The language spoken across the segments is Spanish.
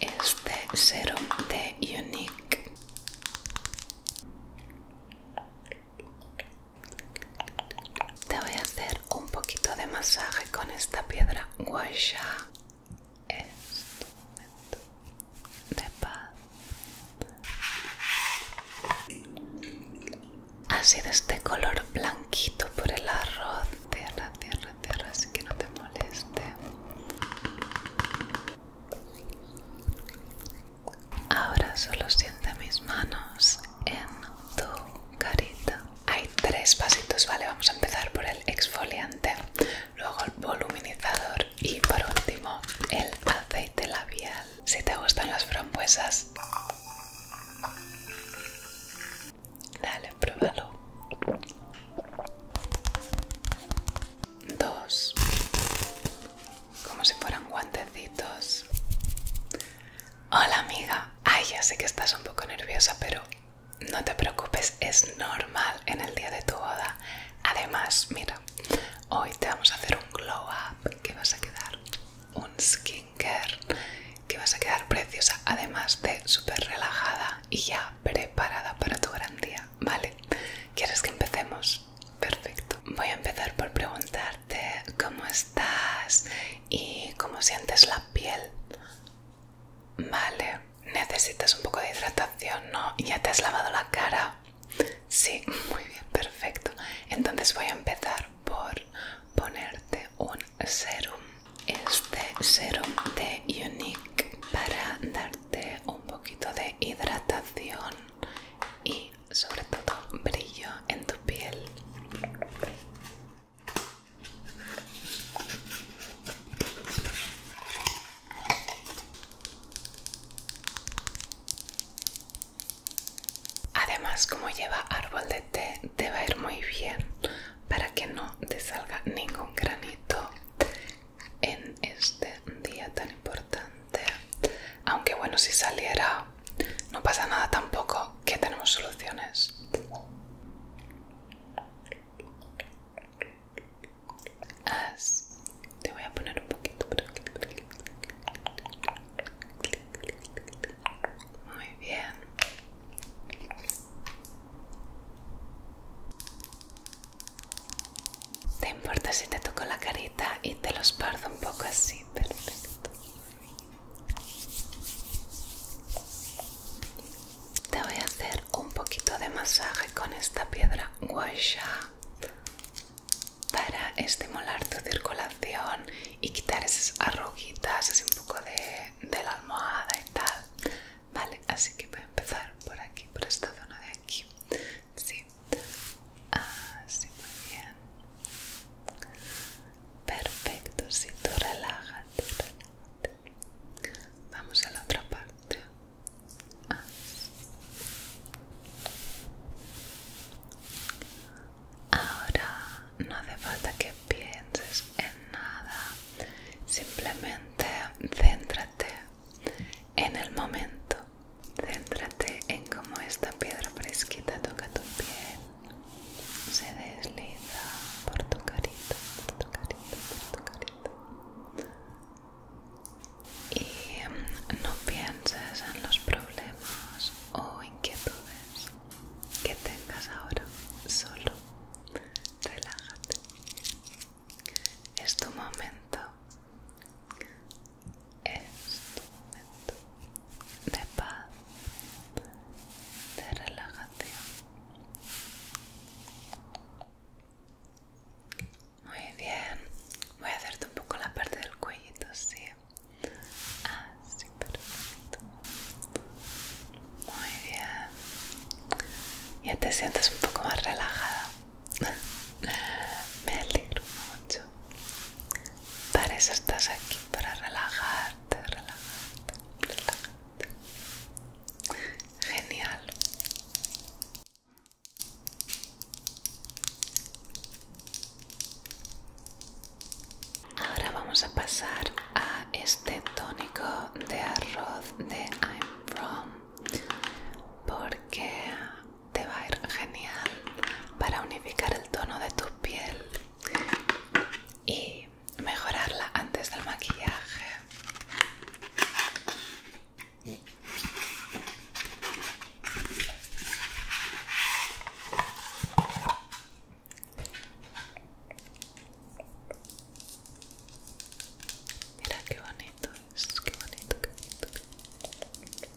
este serum de Unique te voy a hacer un poquito de masaje con esta piedra Gua es de paz Así de este color blanquito por el arroz Tierra, tierra, tierra, así que no te moleste. Ahora solo siente mis manos en tu carita. Hay tres pasitos, ¿vale? Vamos a empezar por el exfoliante, luego el voluminizador y por último el aceite labial. Si te gustan las frambuesas, dale, pruébalo. Dos, como si fueran guantecitos. Hola amiga, ay ya sé que estás un poco nerviosa, pero no te preocupes, es normal en el día de tu boda. Además, mira, hoy te vamos a hacer un glow up que vas a quedar, un skincare que vas a quedar preciosa, además de súper relajada y ya preparada para tu gran día, ¿vale? ¿Quieres que empecemos? Perfecto. Voy a empezar por preguntarte cómo estás y cómo sientes la piel. Vale, necesitas un poco de hidratación, ¿no? ¿Ya te has lavado la cara? Sí, muy bien, perfecto. Entonces voy a empezar por ponerte un serum este serum de Unique para darte un poquito de hidratación y sobre todo brillo en tu piel. Además, como lleva árbol de té, te va a ir muy bien para que no te salga ningún granito en este día tan importante. Aunque bueno, si saliera, no pasa nada tampoco, que tenemos soluciones. te voy a poner un poquito Muy bien. ¿Te importa si te toco la carita y te los esparzo un poco así? Perfecto. Te voy a hacer un poquito de masaje con esta piedra guasha para estimular tu circulación y quitar esas arruguitas, así un poco de la almohada y tal. Vale, así que voy a empezar por aquí, por esta zona de aquí. Sí, así ah, muy bien. Perfecto, si tú relájate, relájate. Vamos a la otra parte. Ah. Ahora no hace falta que pienses en nada, simplemente céntrate en el momento. Céntrate en cómo esta piedra fresquita toca tu piel, se desliza por tu carita, por tu carita, por tu carita. Y em, no pienses en los problemas o inquietudes que tengas ahora, solo relájate. Es tu momento. Es tu momento de paz, de relajación. Muy bien. Voy a hacerte un poco la parte del cuello sí. Así, ah, perfecto. Muy bien ya te sientes un poco más relajada. Me alegro mucho. Para eso estás aquí, para relajarte, relajarte, relajarte. Genial. Ahora vamos a pasar a este tónico de arroz de I'm From porque te va a ir genial para unificar el tono de tu piel y mejorarla antes del maquillaje. Mira qué bonito qué bonito, qué bonito.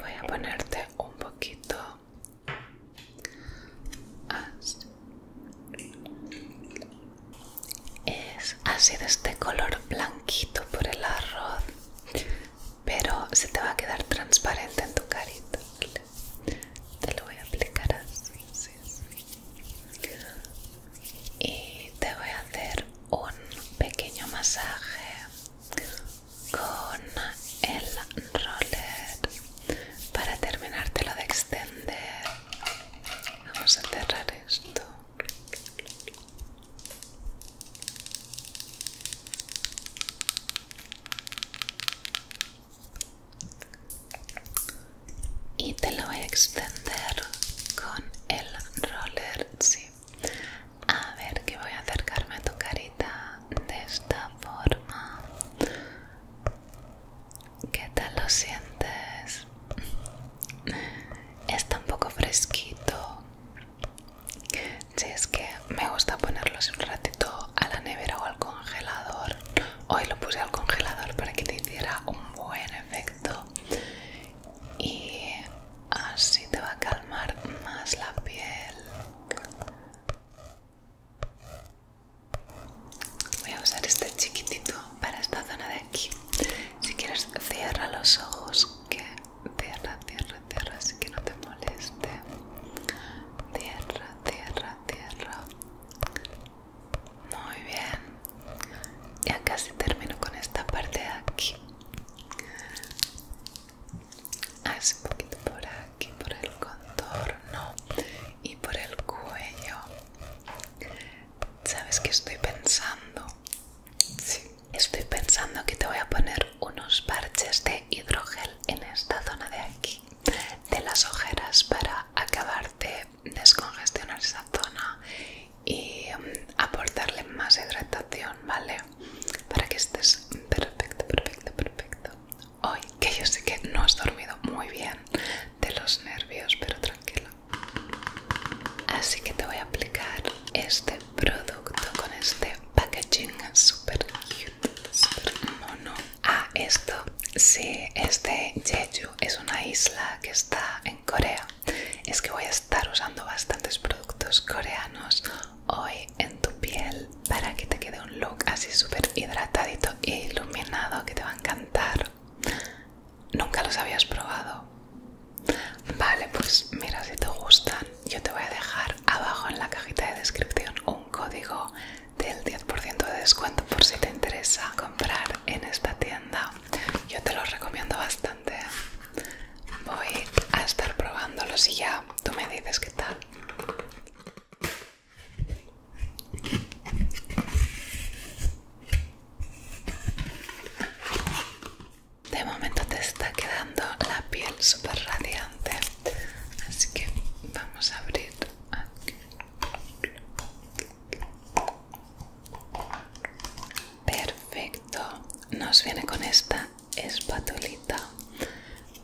Voy a ponerte un poquito es así de este color blanquito por el arroz pero se te va a quedar transparente en tu carita te lo voy a aplicar así, y te voy a hacer un pequeño masaje con el roller para lo de extender vamos a cerrar esto y te lo voy a extender con el roller sí. a ver que voy a acercarme a tu carita de esta forma ¿Qué tal lo sientes? está un poco fresquito. Si es que me gusta ponerlos un ratito a la nevera o al congelador. Hoy lo puse al congelador para que te hiciera un buen efecto. Y así te va a calmar más la piel. Voy a usar este chiquitito para esta zona de aquí si quieres, cierra los ojos. Que cierra, cierra, cierra. Así que no te moleste. Cierra, cierra, cierra. Muy bien. Ya casi termino con esta parte de aquí. Así ah, un poquito por aquí, por el contorno y por el cuello. ¿Sabes qué estoy pensando? Sí. Estoy pensando que te voy a poner unos parches de hidrogel en esta zona de aquí, de las ojeras, para acabar de descongestionar esa zona y mm, aportarle más hidratación, ¿vale? Para que estés perfecto, perfecto, perfecto. Hoy, que yo sé que no has dormido muy bien de los nervios, pero tranquilo, Así que te voy a aplicar este producto con este packaging super cute, súper mono. Ah, esto, sí, este Jeju es una isla que está en Corea. Es que voy a estar usando bastantes productos coreanos hoy en tu piel para que te quede un look así súper hidratadito e iluminado que te va a encantar. Nunca los habías probado. Vale, pues mira, si te gustan, yo te voy a dejar abajo en la cajita de descripción un código del 10% de descuento por si te interesa comprar en esta tienda. Yo te lo recomiendo bastante. Voy a estar probándolos y ya tú me dices qué tal. De momento te está quedando la piel súper radiante, así que vamos a abrir aquí. Perfecto, nos viene con esta espatulita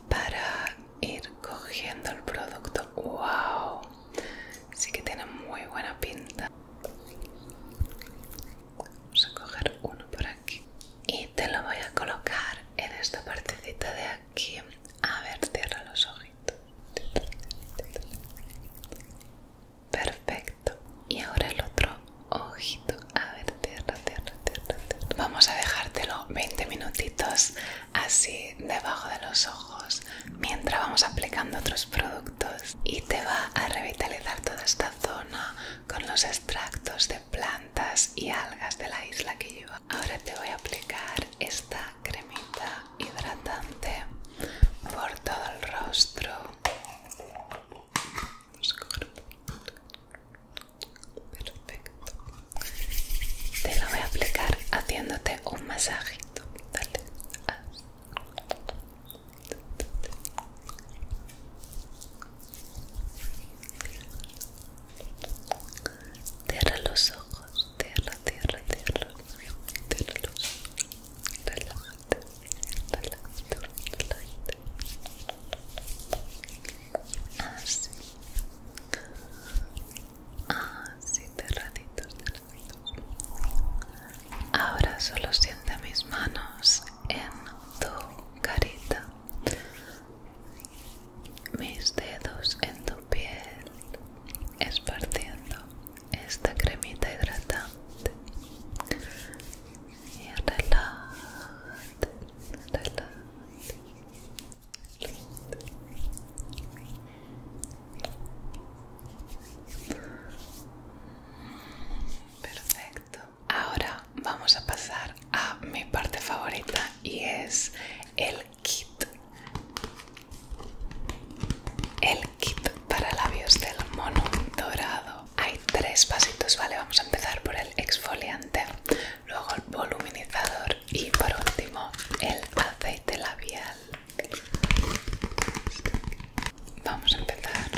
para ir cogiendo el producto. ¡Wow! Sí que tiene muy buena pinta. Vamos a coger uno por aquí y te lo voy a colocar en esta partecita de aquí. A ver, cierra los ojitos. Perfecto. Y ahora el otro ojito. A ver, cierra, cierra, cierra, Vamos a dejártelo 20 minutitos así debajo de los ojos mientras vamos aplicando otros productos y te va a revitalizar toda esta zona con los extractos de plantas y algas de la isla que lleva. Ahora te voy a aplicar esta cremita hidratante por todo el rostro. Perfecto. Te lo voy a aplicar haciéndote un masajito. Cierra los ojos, cierra, cierra, cierra, cierra los ojos, relájate, relájate, Así, así, cerraditos, Ahora solo siente mis manos en tu carita, mis dedos en tu piel, esparciendo esta cremita hidratante. Y relájate, relájate. Perfecto. Ahora vamos a pasar a mi parte favorita y es el kit. El kit para labios del mono dorado. Hay tres pasitos, ¿vale? Vamos a empezar por el exfoliante, luego el voluminizador y por último el aceite labial. Vamos a empezar.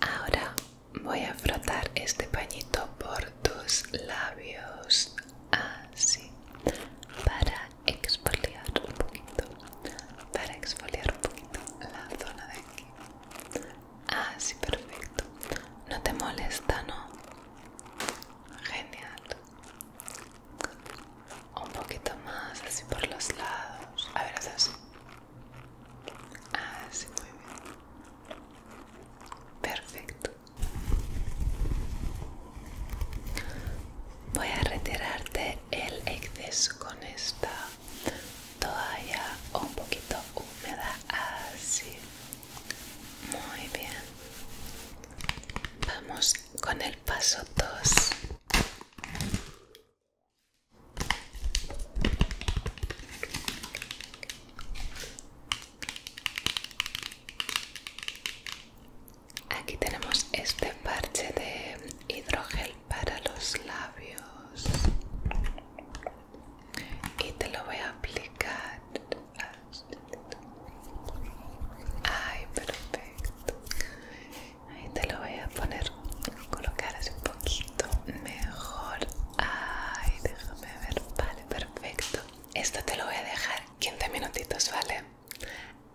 Ahora voy a frotar este pañito por tus labios así para exfoliar un poquito para exfoliar un poquito la zona de aquí así perfecto no te molesta no Genial. Un poquito más, así por los lados. A ver, haz así. Así, ah, muy bien. Perfecto. Voy a retirarte el exceso con esta toalla un poquito húmeda. Así. Muy bien. Vamos con el paso 2. Aquí tenemos este parche de hidrogel para los labios y te lo voy a aplicar ay perfecto ahí te lo voy a poner colocar así un poquito mejor ay déjame ver vale perfecto esto te lo voy a dejar 15 minutitos vale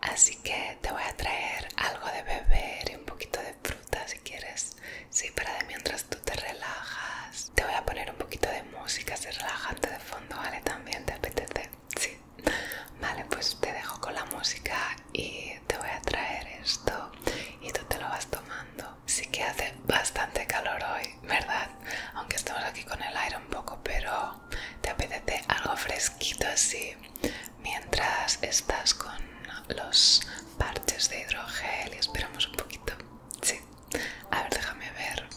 así que te voy a traer algo de beber y un poquito de fruta si quieres sí para de mientras te relajas. Te voy a poner un poquito de música así relajante de fondo, ¿vale? También te apetece. Sí. Vale, pues te dejo con la música y te voy a traer esto y tú te lo vas tomando. Sí que hace bastante calor hoy, ¿verdad? Aunque estamos aquí con el aire un poco, pero te apetece algo fresquito así mientras estás con los parches de hidrogel y esperamos un poquito. Sí. A ver, déjame ver.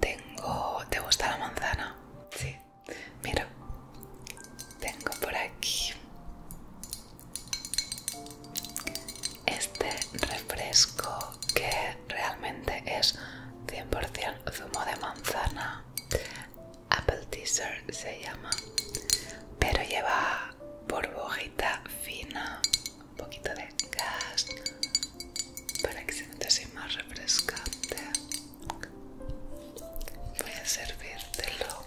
Tengo... ¿Te gusta la manzana? Sí. Mira. Tengo por aquí este refresco que realmente es 100% zumo de manzana. Apple Teaser se llama. Pero lleva burbujita fina un poquito de gas para que se note así más refrescante. Voy a servírtelo.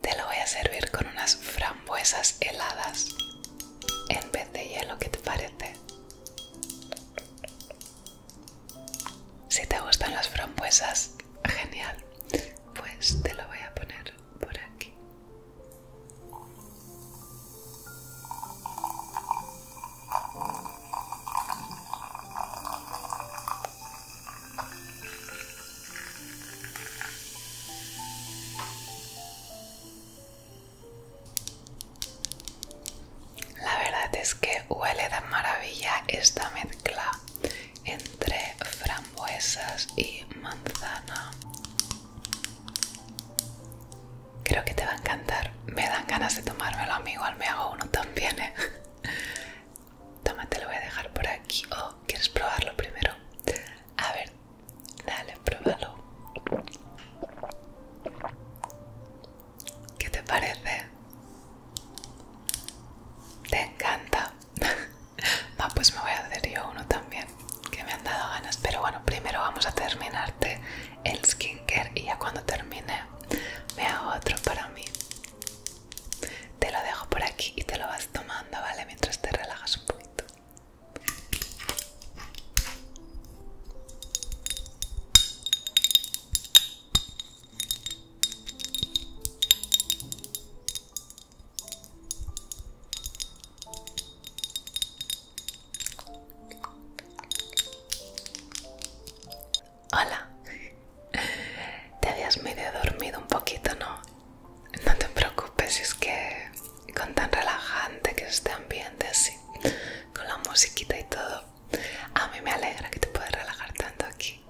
Te lo voy a servir con unas frambuesas heladas en vez de hielo, ¿qué te parece? Si te gustan las frambuesas, genial. Pues te lo voy a poner por aquí. La verdad es que huele de maravilla esta mezcla entre frambuesas y manzana. Creo que te va a encantar. Me dan ganas de tomármelo, amigo. Igual me hago uno también, ¿eh? Toma, te lo voy a dejar por aquí. ¿O oh, quieres probarlo primero? A ver, dale, pruébalo. ¿Qué te parece? ¿Te encanta? ah, pues me voy a hacer yo uno también, que me han dado ganas. Pero bueno, primero vamos a terminarte el skincare y ya cuando termine me hago otro para mí. Te lo dejo por aquí y te lo vas tomando, ¿vale? Mientras te relajas un poquito. Hola, te habías medio dormido un poquito, ¿no? No te preocupes, es que con tan relajante que es este ambiente así, con la musiquita y todo, a mí me alegra que te puedas relajar tanto aquí.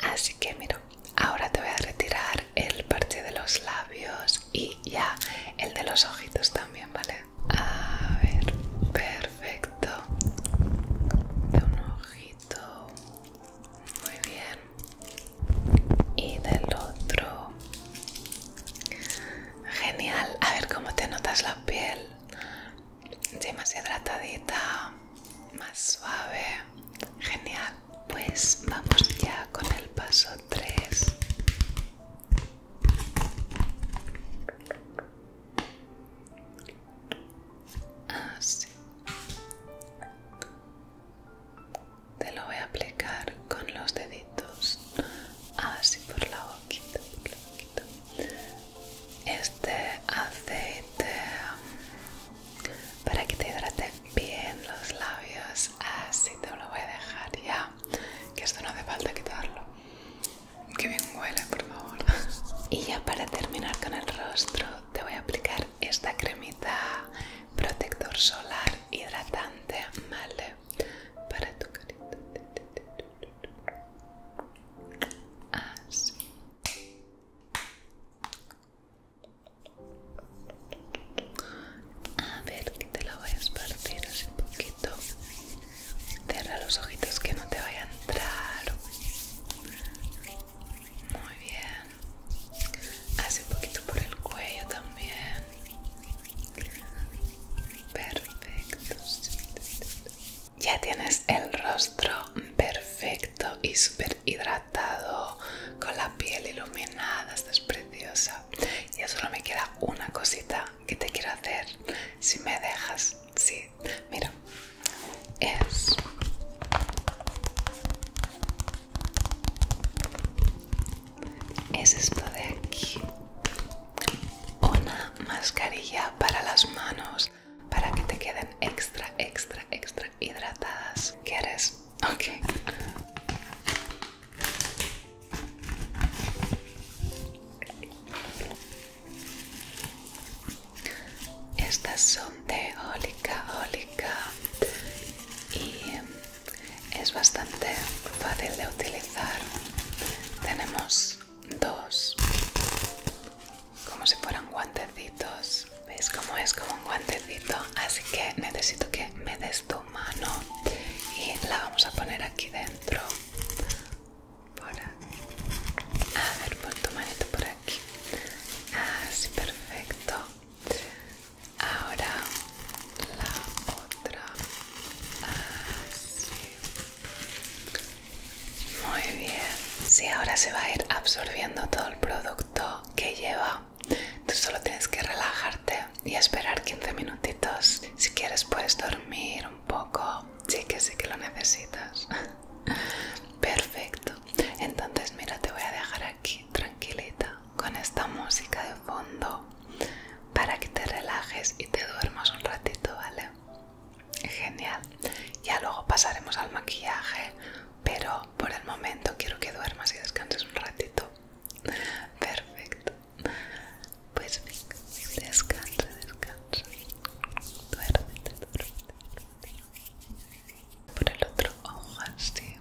Así que miro, ahora te voy a retirar el parche de los labios y ya el de los ojitos también, ¿vale? A ver, perfecto. De un ojito. Muy bien. Y del otro. Genial. A ver cómo te notas la piel. Ya más hidratadita, más suave, genial. Pues vamos ya con el paso 3. Así. Ah, Te lo voy a aplicar con los deditos, así por la boquita, por la boquita este aceite mm, para que te hidrate bien los labios así te lo voy a dejar ya que esto no hace falta quitarlo que bien huele por favor y ya para terminar con el rostro te voy a aplicar esta cremita protector solar hidratante vale para tu carita así a ver, que te la voy a esparcir un poquito. Cierra los ojitos que no te vaya a entrar. Muy bien. Hace un poquito por el cuello también. Perfecto. Ya tienes el rostro perfecto y súper hidratado, con la piel iluminada, estás preciosa. Ya solo me queda una cosita que te quiero hacer, si me dejas, sí. Mira, es... Es esto de aquí. Una mascarilla para las manos para que te queden extra, extra, extra hidratadas. ¿Quieres? Ok. Estas son de Olica y es bastante fácil de utilizar. Tenemos dos como si fueran guantecitos. ¿Veis cómo es como un guantecito? Así que necesito que me des tu mano y la vamos a poner aquí dentro. Por aquí. A ver, pon tu manito por aquí. Así, ah, perfecto. Ahora la otra. Así. Ah, muy bien. si ahora se va a ir absorbiendo todo el producto que lleva. Tú solo tienes que relajarte y esperar 15 minutitos. Si quieres puedes dormir un poco. Sí que sí que lo necesitas. Perfecto. Entonces mira, te voy a dejar aquí tranquilita con esta música de fondo para que te relajes y te duermas un ratito, ¿vale? Genial. Ya luego pasaremos al maquillaje, pero por el momento quiero que duermas y descanses un ratito. Perfecto. Pues descansa, descansa. Duérmete, duérmete. Por el otro ojo así.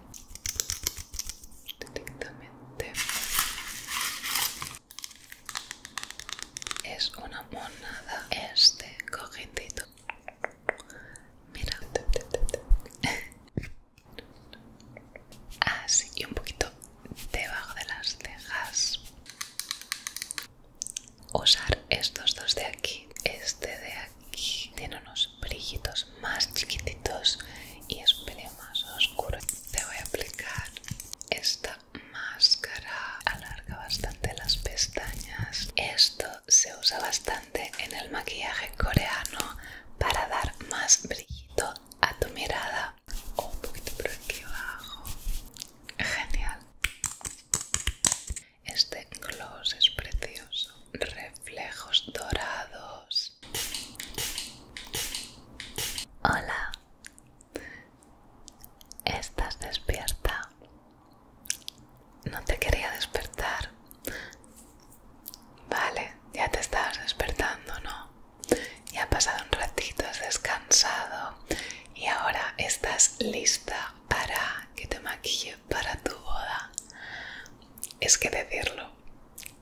Directamente. Es una monada este cojitito Mira. Así ah, y un poquito debajo de las cejas. Usar estos dos de aquí. Este de aquí tiene unos brillitos más chiquititos y es un pelín más oscuro. Te voy a aplicar esta máscara. Alarga bastante las pestañas. Esto se usa bastante en el maquillaje coreano para dar más brillito a tu mirada. un poquito por aquí abajo. Genial. Este gloss es precioso. Reflejos dorados. Hola. ¿Estás despierta? No te quería despertar. Vale, ya te estabas despertando, ¿no? Ya ha pasado un ratito, has descansado y ahora estás lista para que te maquille para tu boda. Es que decirlo,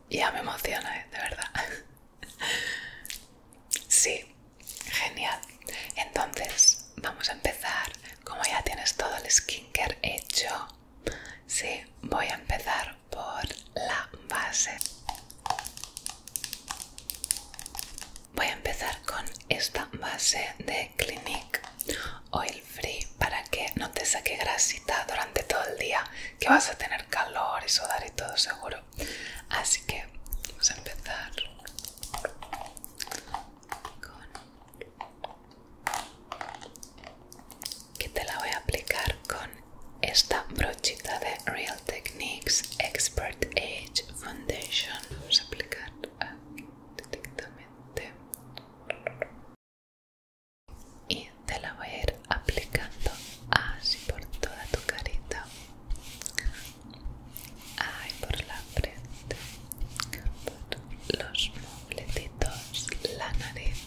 ya me emociona, ¿eh? de verdad. sí, genial. Entonces, vamos a empezar. Como ya tienes todo el skincare hecho, sí, voy a empezar por la base. Voy a empezar con esta base de Clinique Oil Free para que no te saque grasita durante todo el día, que vas a tener calor y sudar y todo seguro. Así que vamos a empezar con que te la voy a aplicar con esta brochita de Real Techniques Expert Age Foundation. Vamos a aplicar aquí directamente y te la voy a ir aplicando así por toda tu carita ahí por la frente, por los mofletitos, la nariz.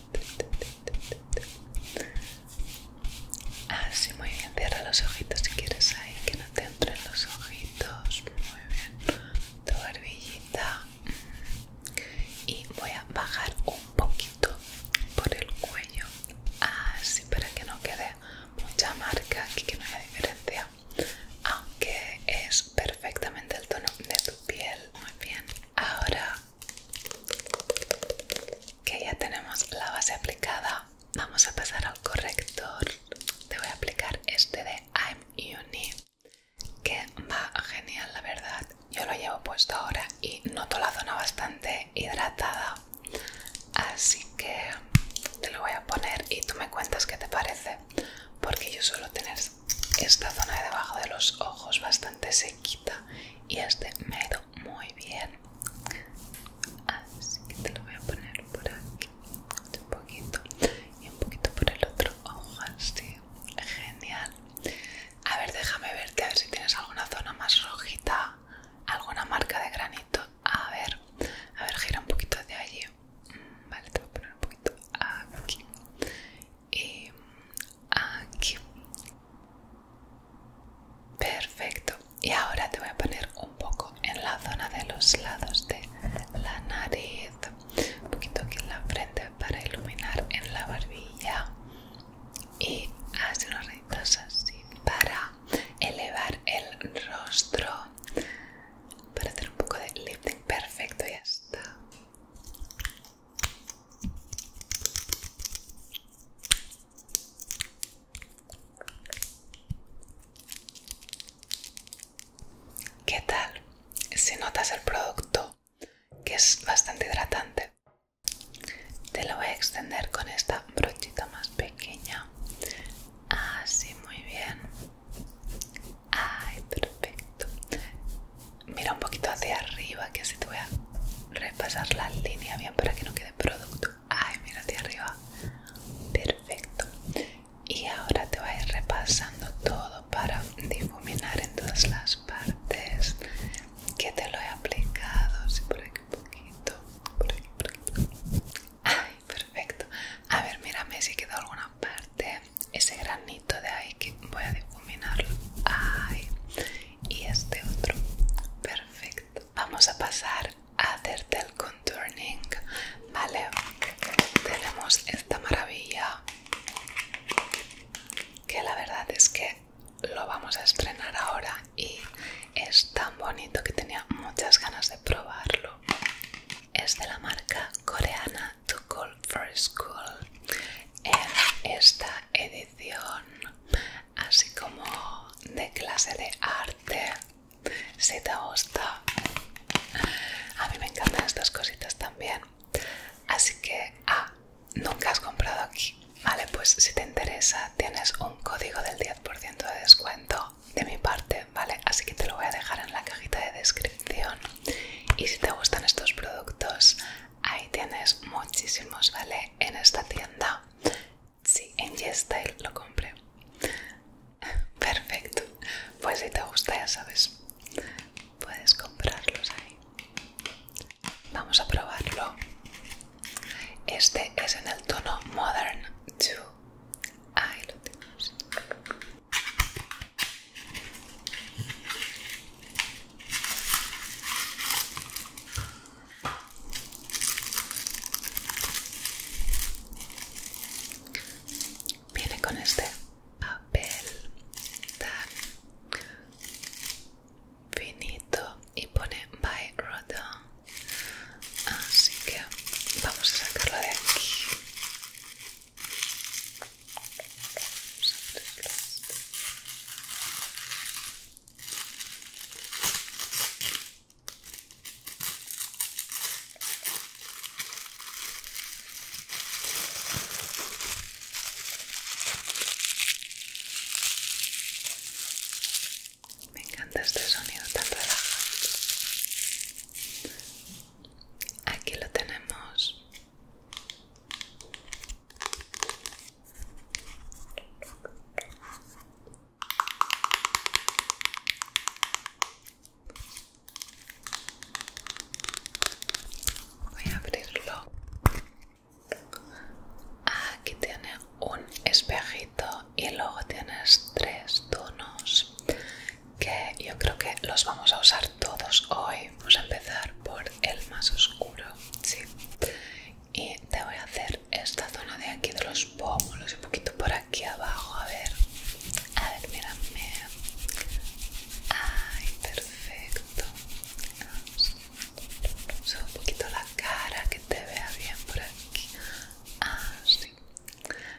Así, muy bien. Cierra los ojitos si quieres ahí, que no te entren los ojitos. Muy bien. Tu barbillita. Y voy a bajar un poquito por el cuello. Así, para que no quede mucha marca aquí, que no haya diferencia aunque es perfectamente el tono de tu piel. Muy bien, ahora que ya tenemos la base aplicada, vamos a pasar al corrector. Te voy a aplicar este de I'm Uni, que va genial, la verdad. Yo lo llevo puesto ahora y noto la zona bastante hidratada. Así que te lo voy a poner y tú me cuentas qué te parece porque yo suelo tener esta zona de debajo de los ojos bastante sequita y este me ha ido muy bien así que te lo voy a poner por aquí un poquito y un poquito por el otro ojo así genial a ver déjame verte a ver si tienes alguna zona más rojita alguna marca de granito a ver a ver gira un poquito de allí Vale, te voy a poner un poquito aquí. Y em, aquí. Perfecto. Y ahora te voy a poner un poco en la zona de los lados de la nariz. Un poquito aquí en la frente para iluminar en la barbilla. Y hace unos rayitos así para elevar el rostro para hacer un poco de lifting perfecto ya está ¿Qué tal? Si notas el producto que es bastante hidratante te lo voy a extender con esta brochita más pequeña así ah, muy bien Ay, perfecto. Mira un poquito hacia arriba, que así te voy a repasar la línea bien para que no quede producto. Ay, mira hacia arriba. Perfecto. Y ahora te voy a ir repasando todo para difuminar en todas las partes que te lo he aplicado. Sí, por aquí poquito perfecto. A ver, mírame si quedó alguna parte. Ese granito de ahí que voy a difuminarlo. Ay, y este otro. Perfecto. Vamos a pasar a hacerte el contouring. Vale, tenemos esta maravilla que la verdad es que lo vamos a estrenar ahora y es tan bonito que tenía muchas ganas de probarlo es de la marca coreana To Call for School en eh, esta edición así como de clase de arte si te gusta a mí me encantan estas cositas también así que ah nunca has comprado aquí vale pues si te interesa tienes un código del 10% de descuento de mi parte, ¿vale? Así que te lo voy a dejar en la cajita de descripción. Y si te gustan estos productos, ahí tienes muchísimos, ¿vale? En esta tienda. Sí, en YesStyle lo compré. Perfecto. Pues si te gusta, ya sabes, puedes comprarlos ahí. Vamos a probarlo. Este es en el tono Modern 2. Ahí lo tenemos. Viene con este papel tan finito y pone by Rodin. Así que vamos a sacarlo de aquí. Me encanta este sonido tan relajante. Aquí lo tenemos. Voy a abrirlo. Ah, aquí tiene un espejito y luego tienes tres tonos que yo creo que los vamos a usar todos hoy. Vamos a empezar por el más oscuro, sí. Y te voy a hacer esta zona de aquí de los pómulos, un poquito por aquí abajo, a ver. A ver, mírame. Ay, perfecto. Solo un poquito la cara, que te vea bien por aquí. Así. Ah,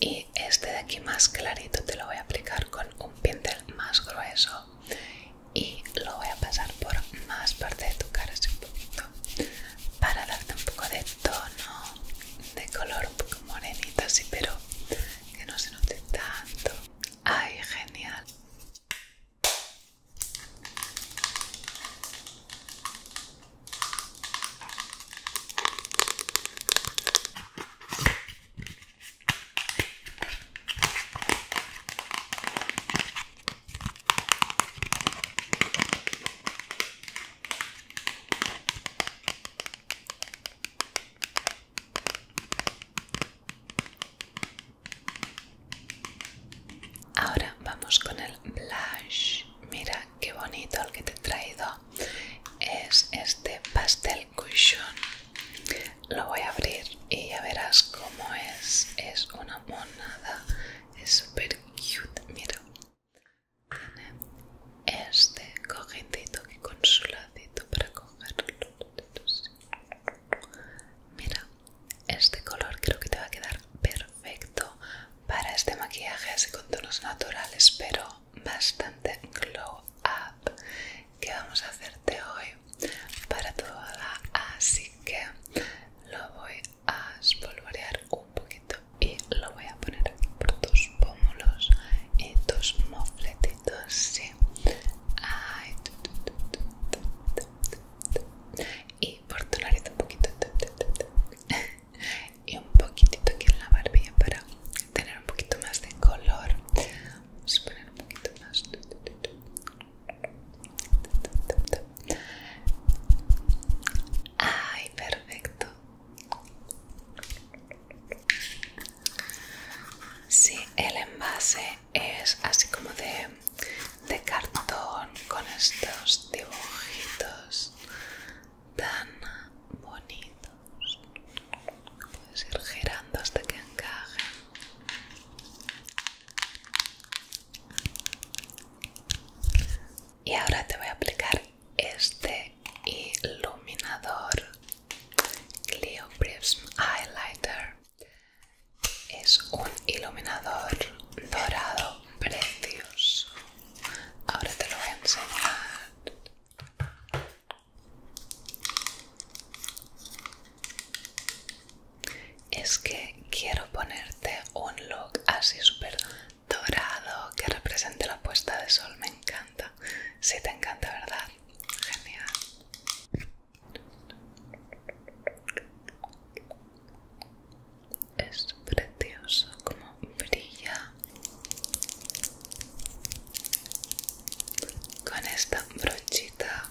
y este de aquí más clarito te lo voy a aplicar con un pincel más grueso y lo voy a pasar por más parte de tu cara así un poquito para darte un poco de tono de color un poco morenita así pero que no se note tanto ay genial Ahora vamos con el blush. Mira qué bonito el que te he traído es este pastel cushion lo voy a abrir y ya verás cómo es es una monada es super cute mira este cogidito que con su ladito para cogerlo mira este color creo que te va a quedar perfecto para este maquillaje así con tonos naturales pero bastante glow up que vamos a hacerte hoy para toda así que lo voy a espolvorear un poquito y lo voy a poner por tus pómulos y tus mofletitos y por tu nariz un poquito y un poquitito aquí en la barbilla para tener un poquito más de color. Vamos a poner un poquito más. Ay, perfecto. Sí, el envase es así como de, de cartón con estos dibujitos tan bonitos puedes ir girando hasta que encaje y ahora te voy a aplicar este iluminador Clio Prism Highlighter es un iluminador dorado precioso ahora te lo voy a enseñar es que quiero ponerte un look así súper dorado que represente la puesta de sol, me encanta. Si te encanta, ¿verdad? Genial. Es precioso como brilla con esta brochita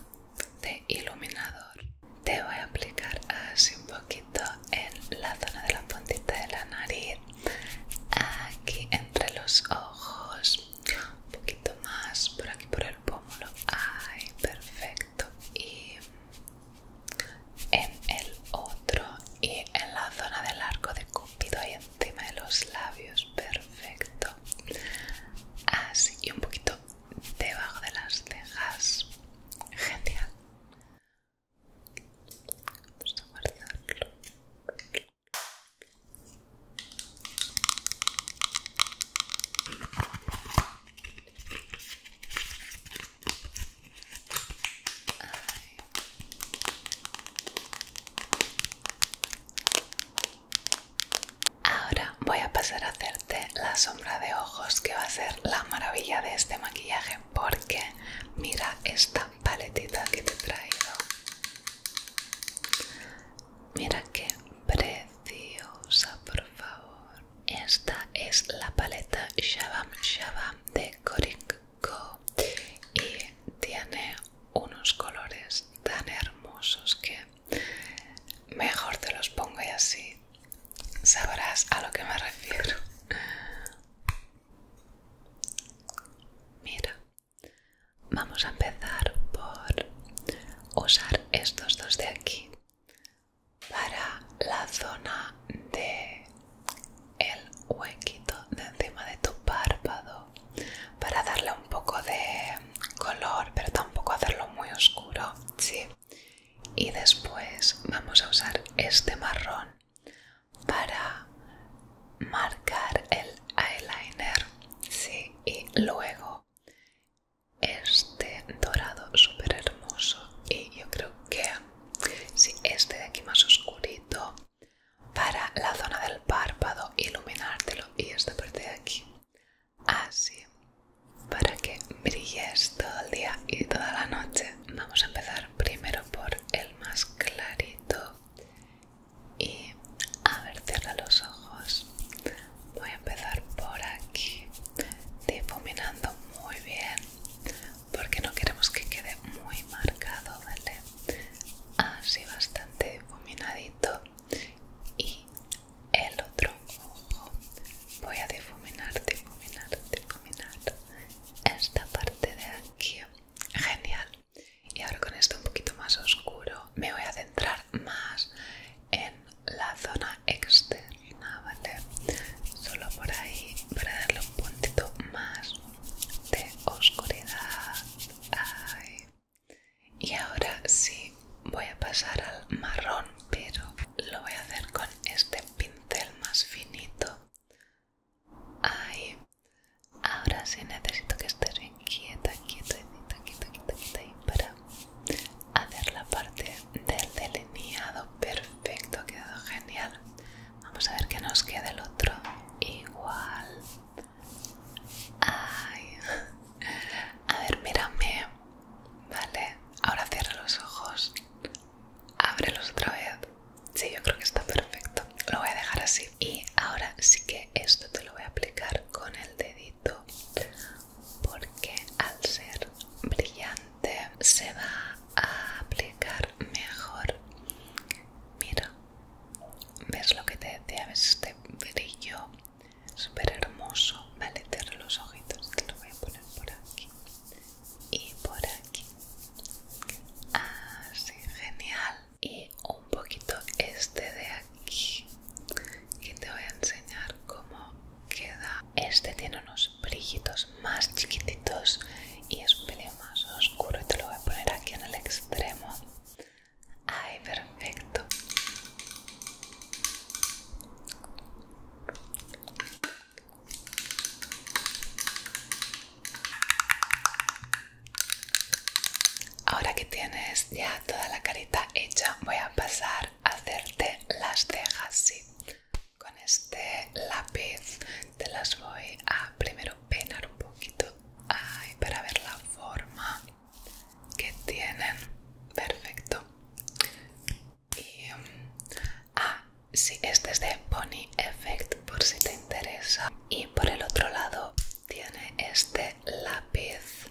de iluminador te voy a aplicar así un poquito en la zona de la puntita de la nariz, aquí entre los ojos, un poquito más por aquí por el pómulo. Ay, perfecto. Y en el otro y en la zona del arco de Cúpido ahí tema de los labios, perfecto. Así y un poquito debajo de las cejas, genial. Vamos a Ahora voy a pasar a hacerte la sombra de ojos que va a ser la maravilla de este maquillaje porque mira esta paletita que te he traído. Mira qué preciosa, por favor. Esta es la paleta Shabam Shabam de Coric y tiene unos colores tan hermosos que mejor te los pongo y así sabrás a lo que me refiero. Mira, vamos a empezar por usar estos dos de aquí para la zona de el huequito de encima de tu párpado para darle un poco de color pero tampoco hacerlo muy oscuro sí y después vamos a usar este marrón para marcar el eyeliner sí y luego este dorado súper hermoso y yo creo que si este de aquí más oscurito para la zona del párpado, iluminártelo y esta parte de aquí. Así, para que brilles todo el día y toda la noche. Vamos a empezar primero por el más clarito. Y a ver, los ojos. Voy a empezar por aquí, difuminando muy bien, porque no queremos que quede muy marcado, ¿vale? así bastante difuminadito y el otro ojo voy a difuminar, difuminar, difuminar esta parte de aquí genial y ahora con esto un poquito más oscuro me voy a centrar más en la zona externa vale solo por ahí para darle un puntito más de oscuridad y ahora sí voy a pasar al marrón, pero lo voy a hacer con este pincel más finito. Ahí. Ahora sí necesito que esté bien quieta, quieta, quieta, quieta, quieta para hacer la parte del delineado perfecto. Ha quedado genial. Vamos a ver que nos queda el otro igual. A ver, mírame. Vale. Ahora cierra los ojos. Ábrelos otra vez. Sí, yo creo que está perfecto. Lo voy a dejar así. Y ahora sí que esto te lo voy a aplicar con el dedito. Porque al ser brillante se va a aplicar mejor. Mira, ves lo que te decía, ves este brillo super hermoso, vale, cierra los ojitos, te lo voy a poner por aquí y por aquí, así, ah, genial, y un poquito este de aquí, que te voy a enseñar cómo queda, este tiene unos brillitos más chiquititos y es un pelín más oscuro y te lo voy a poner aquí en el extremo Ay, perfecto. Ahora que tienes ya toda la carita hecha, voy a pasar a hacerte las cejas, sí. Con este lápiz te las voy a primero peinar un poquito Ay, para ver la forma que tienen. Perfecto. Y, um, ah, sí, este es de Pony Effect por si te interesa. Y por el otro lado tiene este lápiz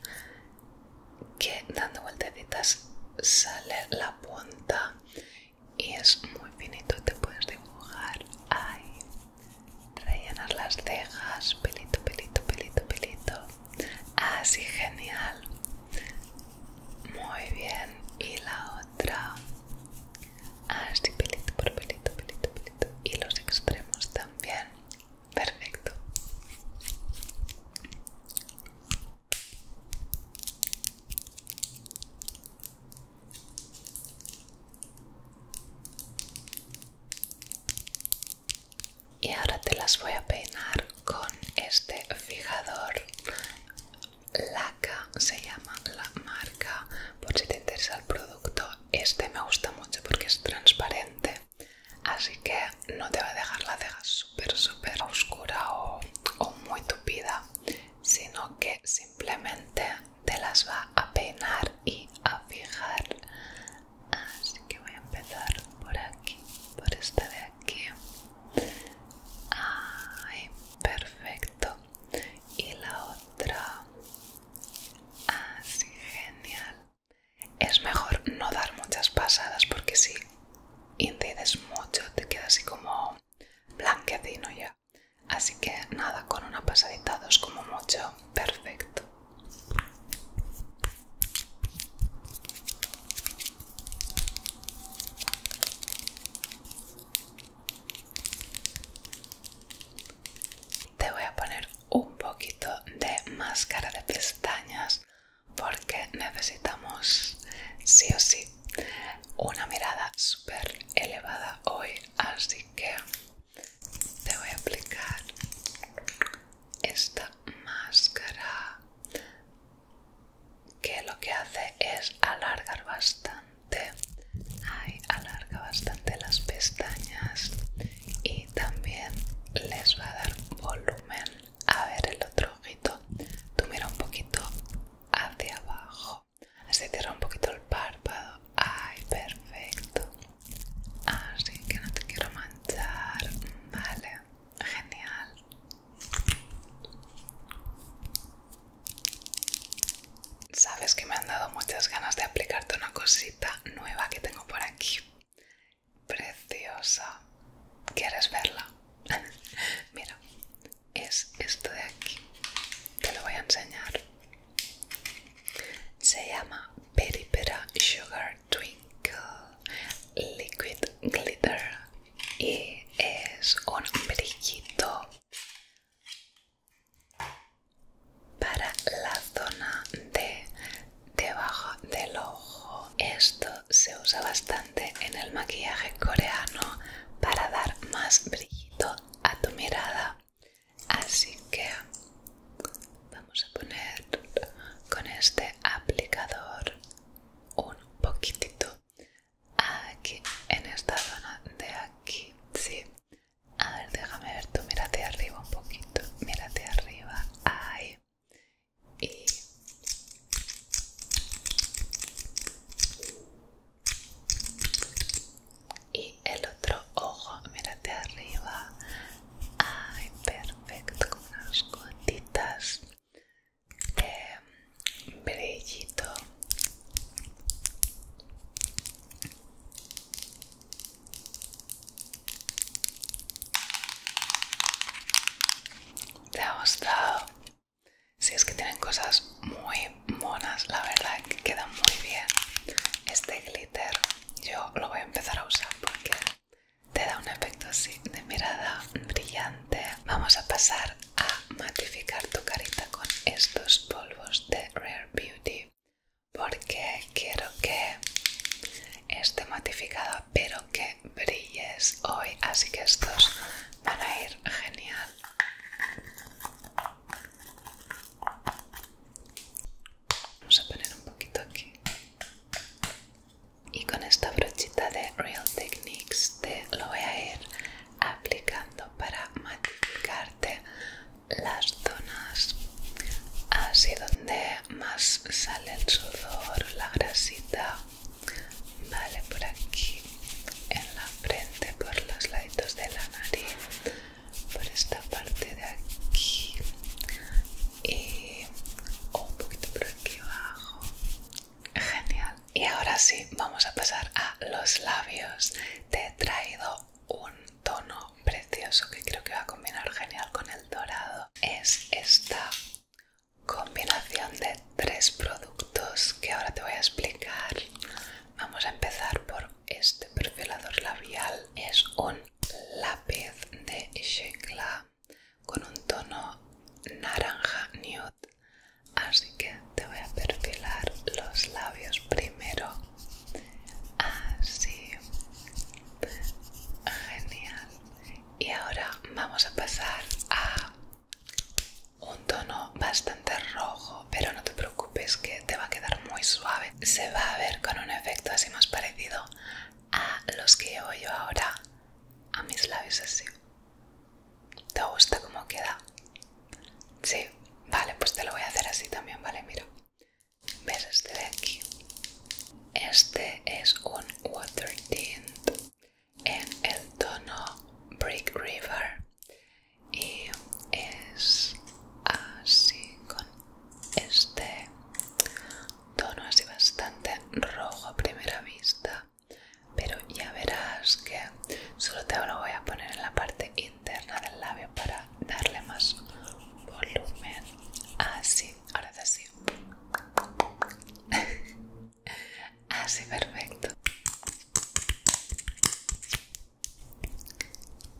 que dando vueltecitas sale la punta y es muy finito, te puedes dibujar ¡Ay! rellenar las cejas, pelito, pelito, pelito, pelito. Así, genial. Muy bien. Y la otra. Así, pelito por pelito, pelito, pelito. Y los extremos también. Perfecto y ahora te las voy a peinar con este fijador laca se llama la marca por si te interesa el producto este me gusta mucho porque es transparente así que no te va a dejar la ceja súper súper oscura o, o muy tupida sino que simplemente te las va a peinar y a fijar así que voy a empezar por aquí por esta de aquí perfecto y la otra así genial es mejor no dar muchas pasadas porque si incides mucho te queda así como blanquecino ya así que nada con una pasadita dos como mucho perfecto te voy a poner un poquito de máscara de pestañas porque necesitamos sí o sí una mirada super elevada hoy, así que te voy a aplicar esta máscara que lo que hace es alargar bastante alarga bastante las pestañas y también les va a dar volumen a ver el otro ojito tú mira un poquito hacia abajo así cierra un poquito el párpado ay perfecto así ah, que no te quiero manchar vale genial sabes que me han dado muchas ganas de aplicarte una cosita nueva que tengo por aquí preciosa quieres verla mira es esto de aquí te lo voy a enseñar se llama Peripera Sugar Twinkle Liquid Glitter y es un brillito para la zona de debajo del ojo. Esto se usa bastante en el maquillaje coreano para dar más brillito a tu mirada. Así que vamos a poner con este aplicador un poquitito aquí, en esta zona de aquí, sí. A ver, déjame ver tú, mírate arriba un poquito, mírate arriba, ahí. Y y el otro ojo, mírate arriba. Ay, perfecto, con unas gotitas de brillito. ¿Te ha gustado? Si es que tienen cosas muy monas, la verdad que quedan muy bien. Este yo lo voy a empezar a usar porque te da un efecto así de mirada brillante vamos a pasar a matificar tu carita con estos polvos de Rare Beauty porque quiero que esté matificada pero que brilles hoy así que estos van a ir genial Vamos a poner un poquito aquí. Y con esta brochita de Real Techniques te lo voy a ir aplicando para matificarte las zonas así donde más sale el sudor, la grasita. Vale, por aquí, en la frente, por los laditos de la nariz por esta parte de aquí y eh, un poquito por aquí abajo genial y ahora sí vamos a pasar a los labios te he traído un tono precioso que creo que va a combinar genial con el dorado es esta combinación de tres productos que ahora te voy a explicar vamos a empezar por este perfilador labial es un lápiz de Shekla con un tono naranja nude. Así que te voy a perfilar los labios primero. Así. Genial. Y ahora vamos a pasar a un tono bastante rojo, pero no te preocupes que te va a quedar muy suave. Se va a ver con un efecto así más parecido a los que llevo yo ahora a mis labios así. ¿Te gusta cómo queda? Sí, vale, pues te lo voy a hacer así también, vale, mira. ¿Ves este de aquí? Este es un water tint en el tono Brick River y es así con este tono así bastante rojo a primera vista pero ya verás que solo te lo voy a poner en la parte interna del labio para darle más volumen así ahora sí así perfecto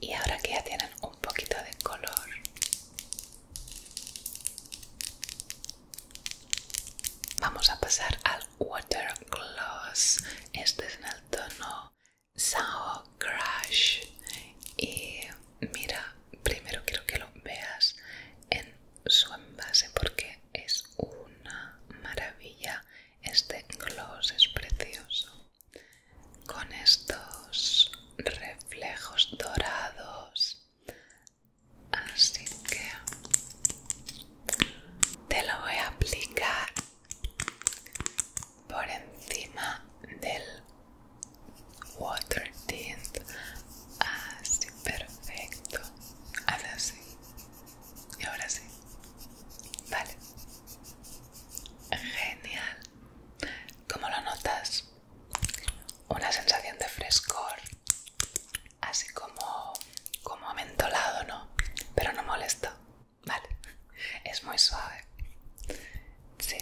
y ahora que ya tienen un poquito de color vamos a pasar al water gloss este es en el tono Sour Crush y mira primero quiero que lo veas en su envase porque es una maravilla este gloss es precioso con estos reflejos dorados así que te lo voy a aplicar por encima del water tint así perfecto haz así y ahora sí vale genial como lo notas? Una sensación de frescor, así como, como mentolado, ¿no? Pero no molesto, ¿vale? Es muy suave. Sí.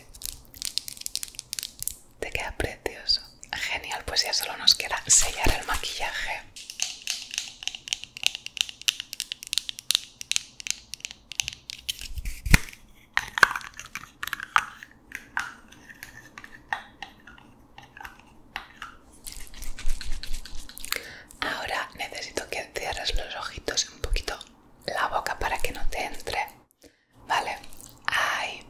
Te queda precioso. Genial, pues ya solo nos queda sellar el maquillaje. Ahora necesito que cierres los ojitos un poquito la boca para que no te entre. Vale, ahí.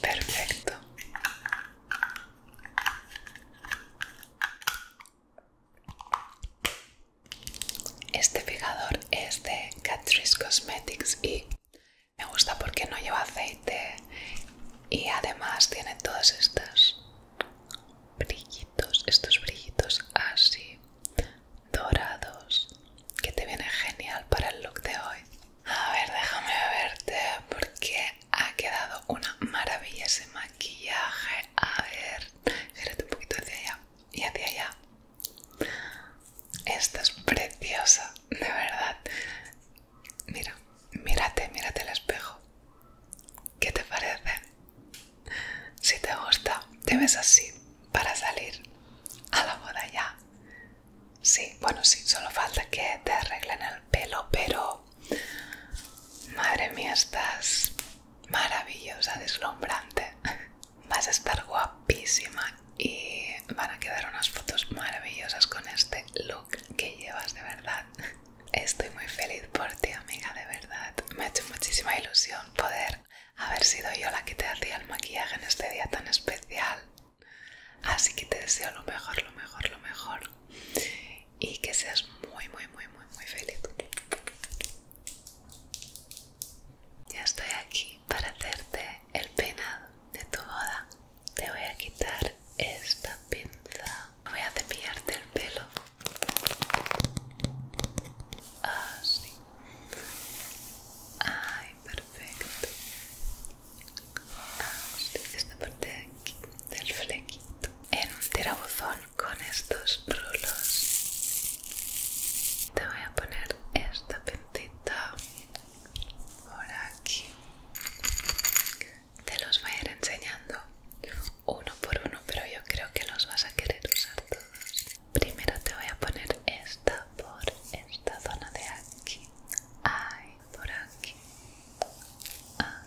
Perfecto. Este fijador es de Catrice Cosmetics y me gusta porque no lleva aceite y además tiene todos estos brillitos, estos brillitos así dorados que te viene genial para el look de hoy. A ver, déjame verte porque ha quedado una maravilla ese maquillaje. A ver, gírate un poquito hacia allá y hacia allá. Esta es preciosa, de verdad. Mira, mírate, mírate el espejo. ¿Qué te parece? Si te gusta, te ves así para salir a la boda ya. Sí, bueno, sí, solo falta que te arreglen el pelo, pero... Madre mía, estás maravillosa, deslumbrante. Vas a estar guapísima y van a quedar unas fotos maravillosas con este look que llevas de verdad. Estoy muy feliz por ti, amiga, de verdad. Me ha hecho muchísima ilusión poder haber sido yo la que te hacía el maquillaje en este día tan especial. Así que te deseo lo mejor, lo mejor, lo mejor. Y que seas muy, muy, muy, muy, muy feliz. Ya estoy aquí para hacerte el peinado de tu boda. Te voy a quitar esta pinza. Voy a cepillarte el pelo. Así. Ah, Ay, perfecto. Ah, esta parte aquí, del flequito. En un tirabuzón con estos rulos te voy a poner esta pintita por aquí te los voy a ir enseñando uno por uno pero yo creo que los vas a querer usar todos primero te voy a poner esta por esta zona de aquí ay por aquí ah,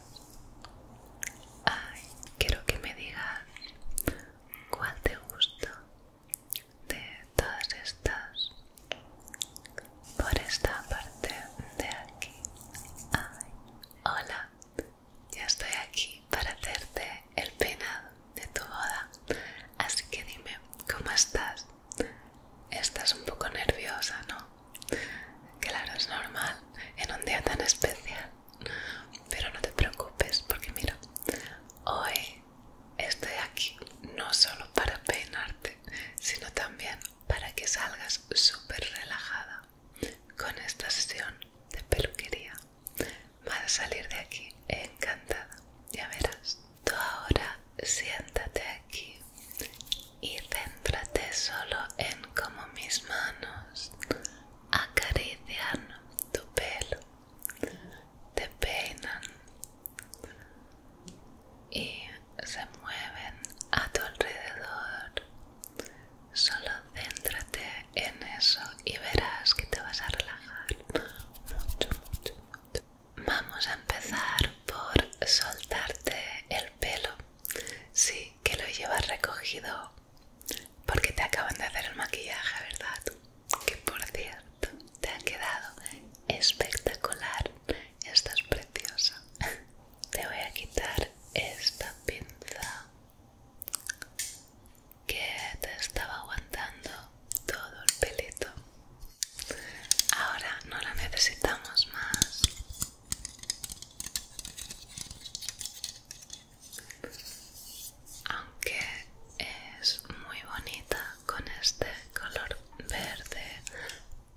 ay. quiero que me digas ¿Cuál te gusta de todas estas? Por esta parte de aquí. Ay, hola, ya estoy aquí para hacerte el peinado de tu boda. Así que dime, ¿cómo estás? Estás un poco nerviosa, ¿no? Claro, es normal en un día tan especial. Pero no te preocupes porque mira, hoy estoy aquí no solo para peinarte, sino también para que salgas súper relajada con esta sesión de peluquería. Vas a salir de aquí encantada, ya verás. Tú ahora siéntate aquí y céntrate solo en cómo mis manos acarician tu pelo, te peinan y se mueven a tu alrededor. Solo céntrate en eso y verás que te vas a relajar Vamos a empezar por soltarte el pelo. Sí, que lo llevas recogido porque te acaban de hacer el maquillaje, ¿verdad? Que por cierto, te ha quedado espectacular. Estás preciosa. Te voy a quitar esta pinza que te estaba aguantando todo el pelito. Ahora no la necesitamos más aunque es muy bonita con este color verde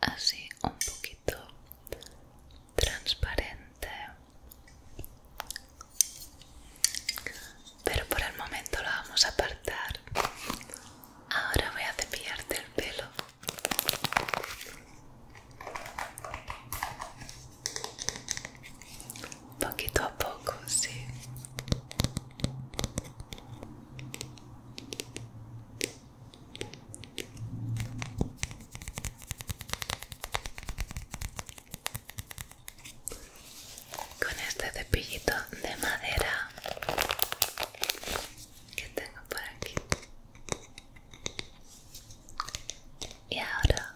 así un poquito transparente pero por el momento lo vamos a apartar ahora voy a cepillarte el pelo poquito a poco, sí. Con este cepillito de madera que tengo por aquí. Y ahora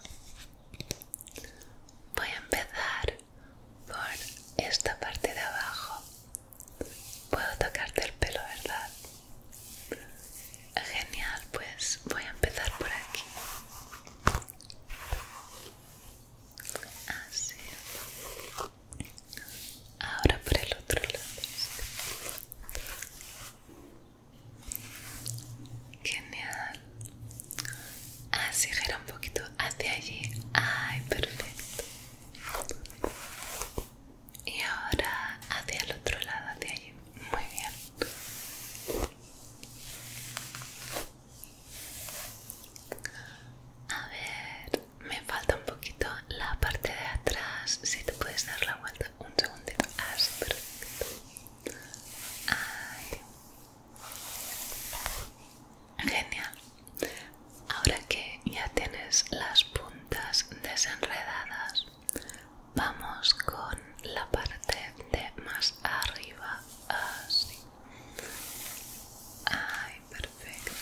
Voy a empezar por esta parte de abajo. Puedo tocarte el pelo, ¿verdad? Genial, pues voy a empezar por aquí. Así. Ahora por el otro lado. Genial. Así ah, gira un poquito hacia allí. Ay, perfecto. Y ahora hacia el otro lado, hacia allí. Muy bien. A ver, me falta un poquito la parte de atrás. Si te puedes dar la vuelta un segundito. Así, ah, perfecto. Ay, Genial. Ahora que ya tienes las puntas desenredadas, vamos con la parte de más arriba, así. Ay, perfecto.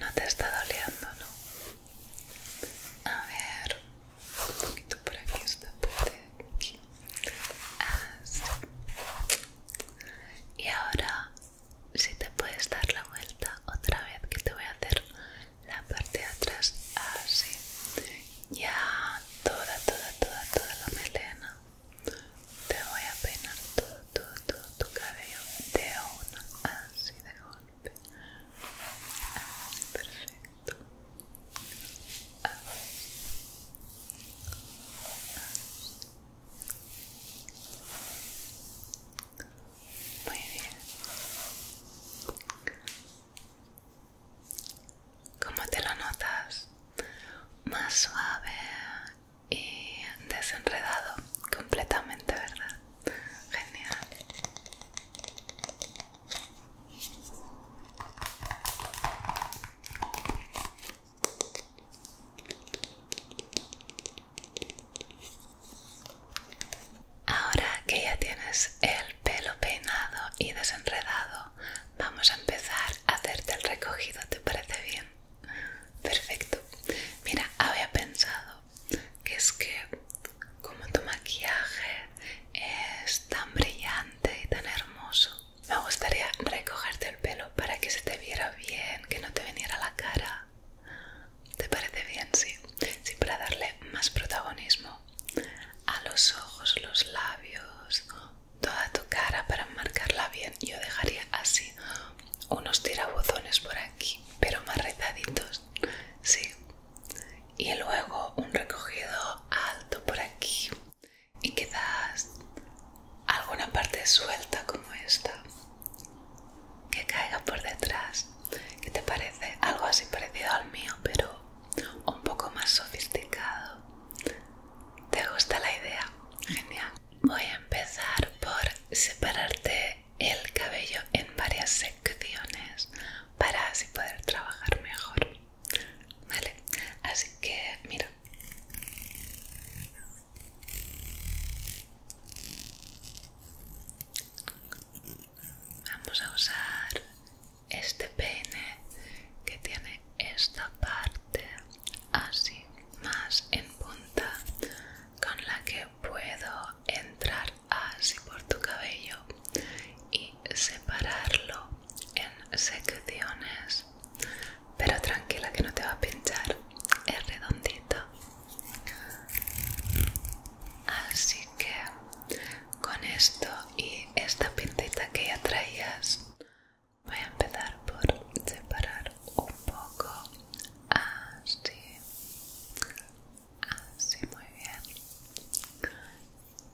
No te está doliendo, ¿no? A ver, un poquito por aquí, esta parte de aquí. Así. Y ahora, si te puedes dar la vuelta otra vez, que te voy a hacer la parte de atrás así. Ya toda, toda, toda, toda la melena. Te voy a peinar todo, todo, todo tu cabello de una, así de una perfecto. Muy bien. ¿Cómo te lo notas? Más suave y desenredado completamente, ¿verdad? Genial. Ahora que ya tienes el pelo peinado y desenredado, vamos a empezar a hacerte el recogido, ¿te parece bien? Perfecto. Mira, había pensado que es que como tu maquillaje es tan brillante y tan hermoso me gustaría recogerte el pelo para que se te viera bien que no te viniera la cara te parece bien sí sí para darle más protagonismo a los ojos los labios toda tu cara para marcarla bien yo dejaría así unos tirabuzones por aquí pero más rezaditos sí. Y luego un recogido alto por aquí y quizás alguna parte suelta como esta que caiga por detrás. ¿Qué te parece? Algo así parecido al mío, pero un poco más sofisticado. ¿Te gusta la idea? Genial. Voy a empezar por separarte el cabello en varias secciones para así poder trabajar mejor vale así que mira vamos a usar este peine que tiene esta parte así más en punta con la que puedo entrar así por tu cabello y separarlo en secciones pero tranquila que no te va a pinchar es redondito así que con esto y esta pintita que ya traías voy a empezar por separar un poco así Así, ah, muy bien.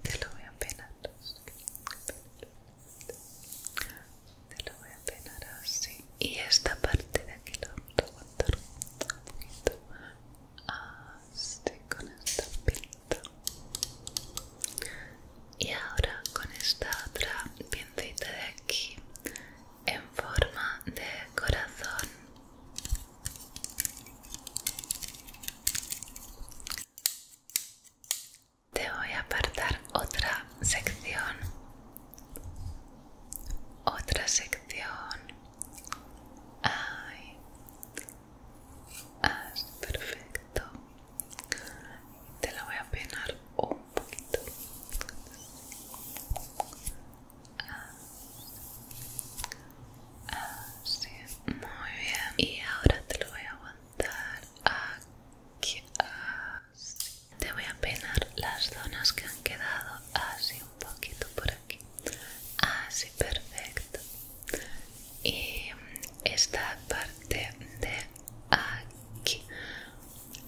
Te lo voy a penar. Te lo voy a apenar así. Y esta parte de aquí lo voy a aguantar un poquito. Así, con esta pinta. Y ahora con esta otra pincita de aquí en forma de corazón. Te voy a apartar otra sección, otra sección. Ay, ah, perfecto. Te la voy a peinar un poquito. Así, muy bien. Y ahora te lo voy a aguantar aquí. Así. Te voy a peinar las zonas que han quedado así un poquito por aquí. Así, perfecto. Y esta parte de aquí.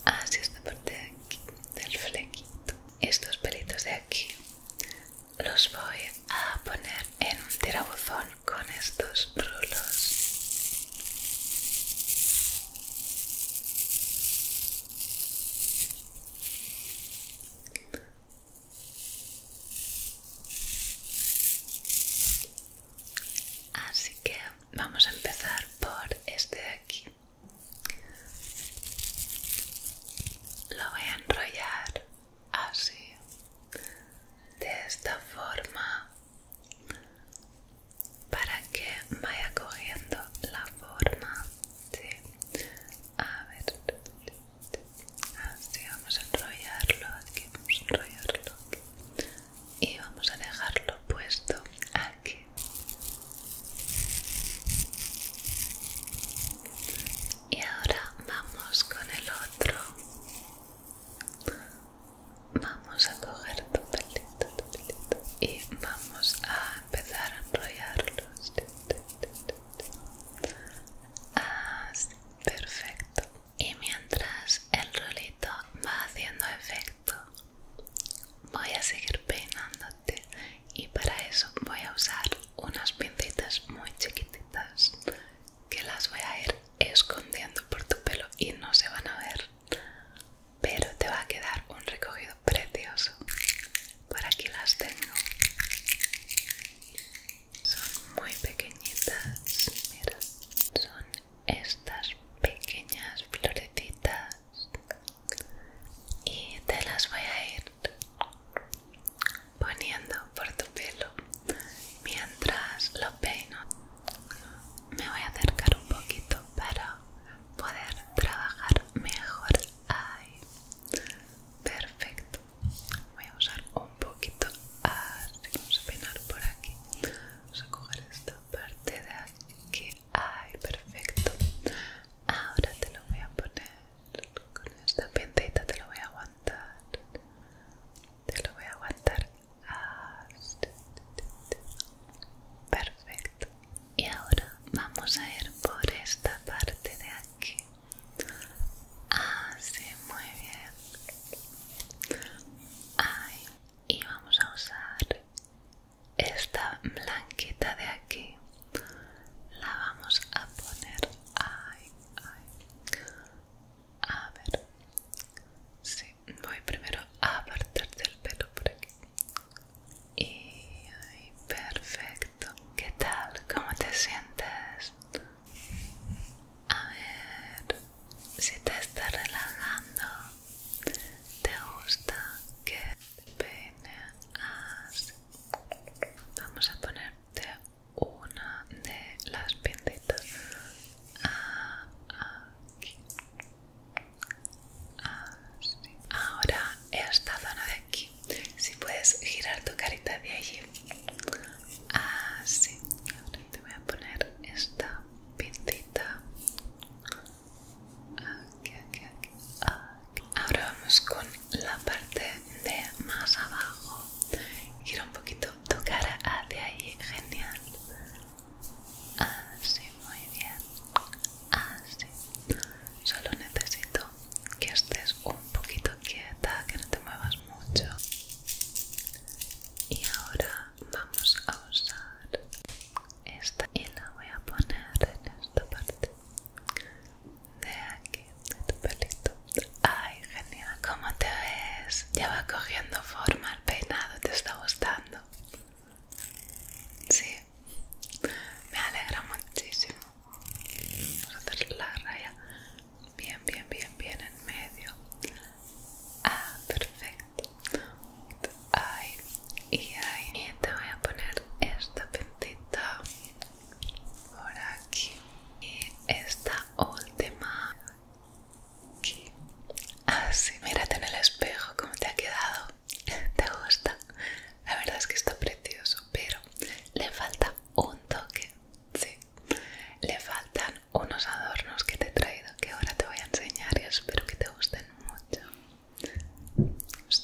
Así, esta parte de aquí, del flequito estos pelitos de aquí los voy a poner en un tirabuzón con estos rulos Así que vamos a empezar por este de aquí. Lo voy a enrollar así, de esta forma, para que vaya cogiendo la forma. Sí. A ver, así vamos a enrollarlo aquí, vamos a enrollarlo y vamos a dejarlo puesto aquí y ahora vamos con el otro vamos a coger tu pelito, y vamos a empezar a enrollarlos perfecto y mientras el rolito va haciendo efecto voy a seguir peinando y para eso voy a usar unas pincitas muy chiquititas que las voy a ir escondiendo por tu pelo y no se van a ver pero te va a quedar un recogido precioso por aquí las tengo son muy pequeñitas mira son estas pequeñas florecitas y te las voy a ir poniendo por tu pelo mientras lo peino me voy a acercar un poquito para poder trabajar mejor ahí perfecto voy a usar un poquito así vamos a peinar por aquí vamos a coger esta parte de aquí Ahí, perfecto ahora te lo voy a poner con esta pientita te lo voy a aguantar te lo voy a aguantar perfecto y ahora vamos a ir por esta parte de aquí así muy bien Ay, y vamos a usar esta blanquita de aquí la vamos a poner a ver sí, voy primero a apartarte el pelo por aquí y perfecto ¿qué tal? ¿cómo te sientes? a ver si te está relajando te gusta que te peine así Vamos a ponerte una de las pintitas aquí. Ahora esta zona de aquí. Si puedes girar tu carita de allí. Así. Ahora te voy a poner esta pintita. Aquí, aquí, aquí. Ahora vamos con la parte de más abajo. Gira un poquito tocar cara hacia ahí, genial. Así, muy bien. Así. Solo necesito que estés un poquito quieta, que no te muevas mucho. Y ahora vamos a usar esta y la voy a poner en esta parte de aquí, de tu pelito. Ay, genial, ¿cómo te ves? Ya va cogiendo forma el peinado, ¿te está gustando? Sí, me alegra muchísimo. Vamos a hacer la raya bien, bien, bien, bien en medio. Ah, perfecto. Ay, y ahí te voy a poner esta pintita por aquí y esta última aquí así ah, mírate en el espejo cómo te ha quedado te gusta la verdad es que está precioso pero le falta un toque sí le faltan unos adornos que te he traído que ahora te voy a enseñar y espero que te gusten mucho los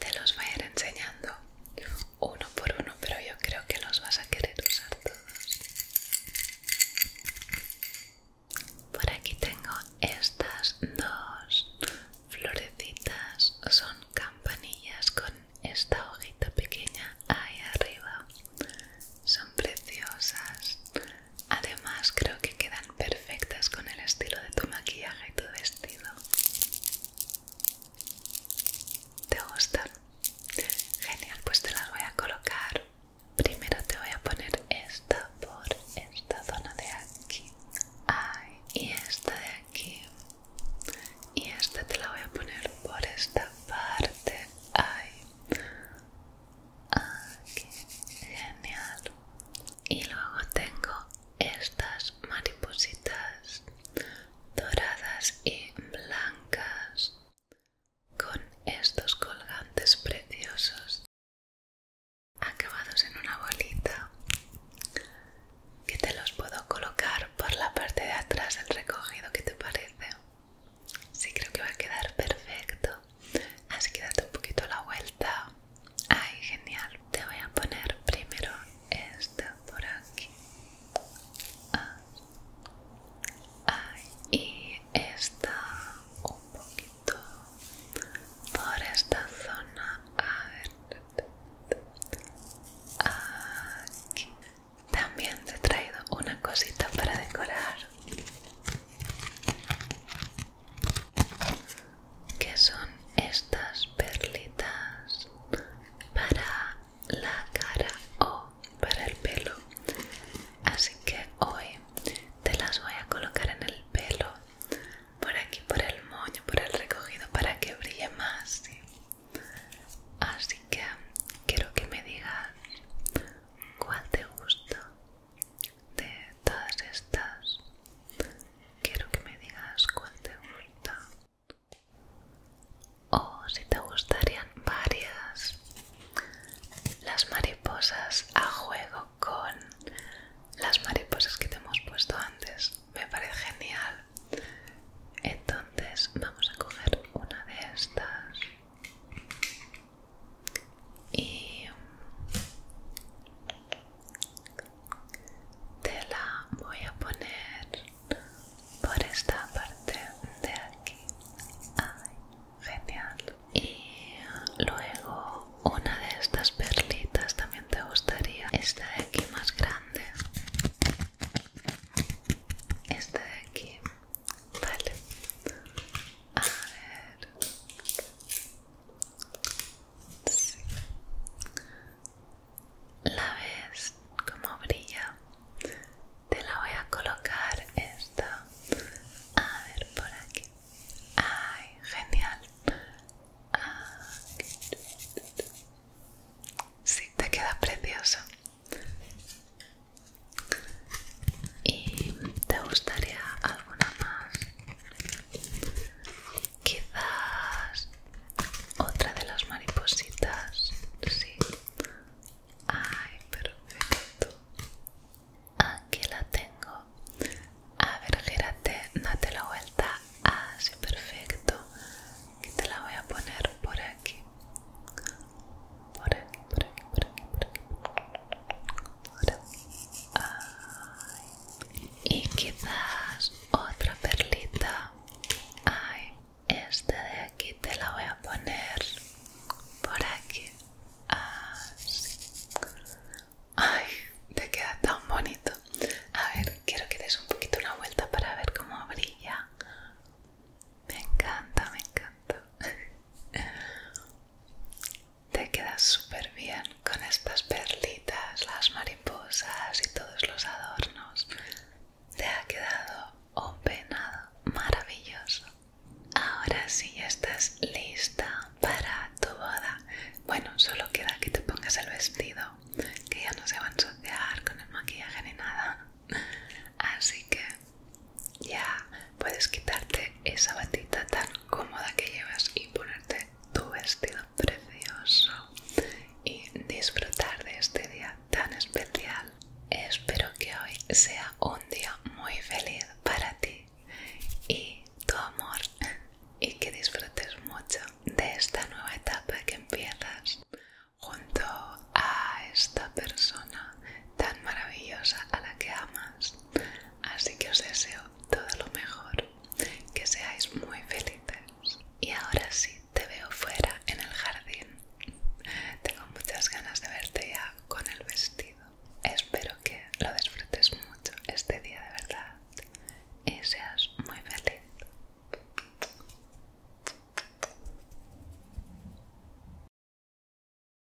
te los voy a ir enseñando uno por uno, pero yo creo que los vas a querer usar todos. Por aquí tengo estas dos florecitas, son campanillas con esta hojita pequeña ahí arriba son preciosas además creo que quedan perfectas con el estilo de tu maquillaje y tu vestido ¿te gustan? genial pues te las voy a colocar primero te voy a poner esta por esta zona de aquí Ay, y esta de aquí y esta te la voy a poner por esta parte Ay, Ah, genial. Y luego tengo estas maripositas doradas y blancas con estos colgantes preciosos acabados en una bolita que te los puedo colocar por la parte de atrás del recogido, ¿qué te parece? Sí, creo que va a quedar perfecto. Así que date un poquito la vuelta. Ay, genial. Te voy a poner primero esta por aquí. Ah. y esta un poquito por esta zona. A ver. Aquí. También te he traído una cosita para decorar que son estas perlitas para la cara o para el pelo así que hoy te las voy a colocar en el pelo por aquí por el moño por el recogido para que brille más así que quiero que me digas cuál te gusta de todas estas quiero que me digas cuál te gusta o si te gustarían varias las mariposas a juego con las mariposas que te hemos puesto antes me parece genial entonces vamos a coger una de estas y te la voy a poner por esta parte de aquí genial y luego una de estas perlitas también te gustaría esta de aquí más grande Este de aquí Vale. A ver. La ves como brilla. Te la voy a colocar esta. A ver por aquí. Ay, genial. si, Sí, te queda precioso. ¿Y te gustaría alguna más? Quizás otra de las maripositas, sí. Ay, perfecto. Aquí la tengo. A ver, gírate, date la vuelta. Así, ah, perfecto. Y te la voy a poner por aquí por aquí, por aquí, por aquí, por aquí. Por aquí. Y quizás otra perlita. Ay, esta de aquí te la voy a poner por aquí. Así. Ah, Ay, te queda tan bonito. A ver, quiero que des un poquito una vuelta para ver cómo brilla. Me encanta, me encanta. Te quedas súper bien con estas perlitas, las mariposas y todos los adornos. Te ha quedado un peinado maravilloso. Ahora sí ya estás lista para tu boda. Bueno, solo queda que te pongas el vestido, que ya no se va a ensuciar con el maquillaje ni nada. Así que ya puedes quitarte esa batita tan cómoda que llevas y ponerte tu vestido precioso y disfrutar de este día tan especial. Espero que hoy sea un día muy feliz para ti y tu amor y que disfrutes mucho de esta nueva etapa que empiezas junto a esta persona tan maravillosa a la que amas Así que os deseo todo lo mejor, que seáis muy felices. Y ahora sí, te veo fuera en el jardín. Tengo muchas ganas de verte ya con el vestido. Espero que lo disfrutes mucho este día de verdad y seas muy feliz.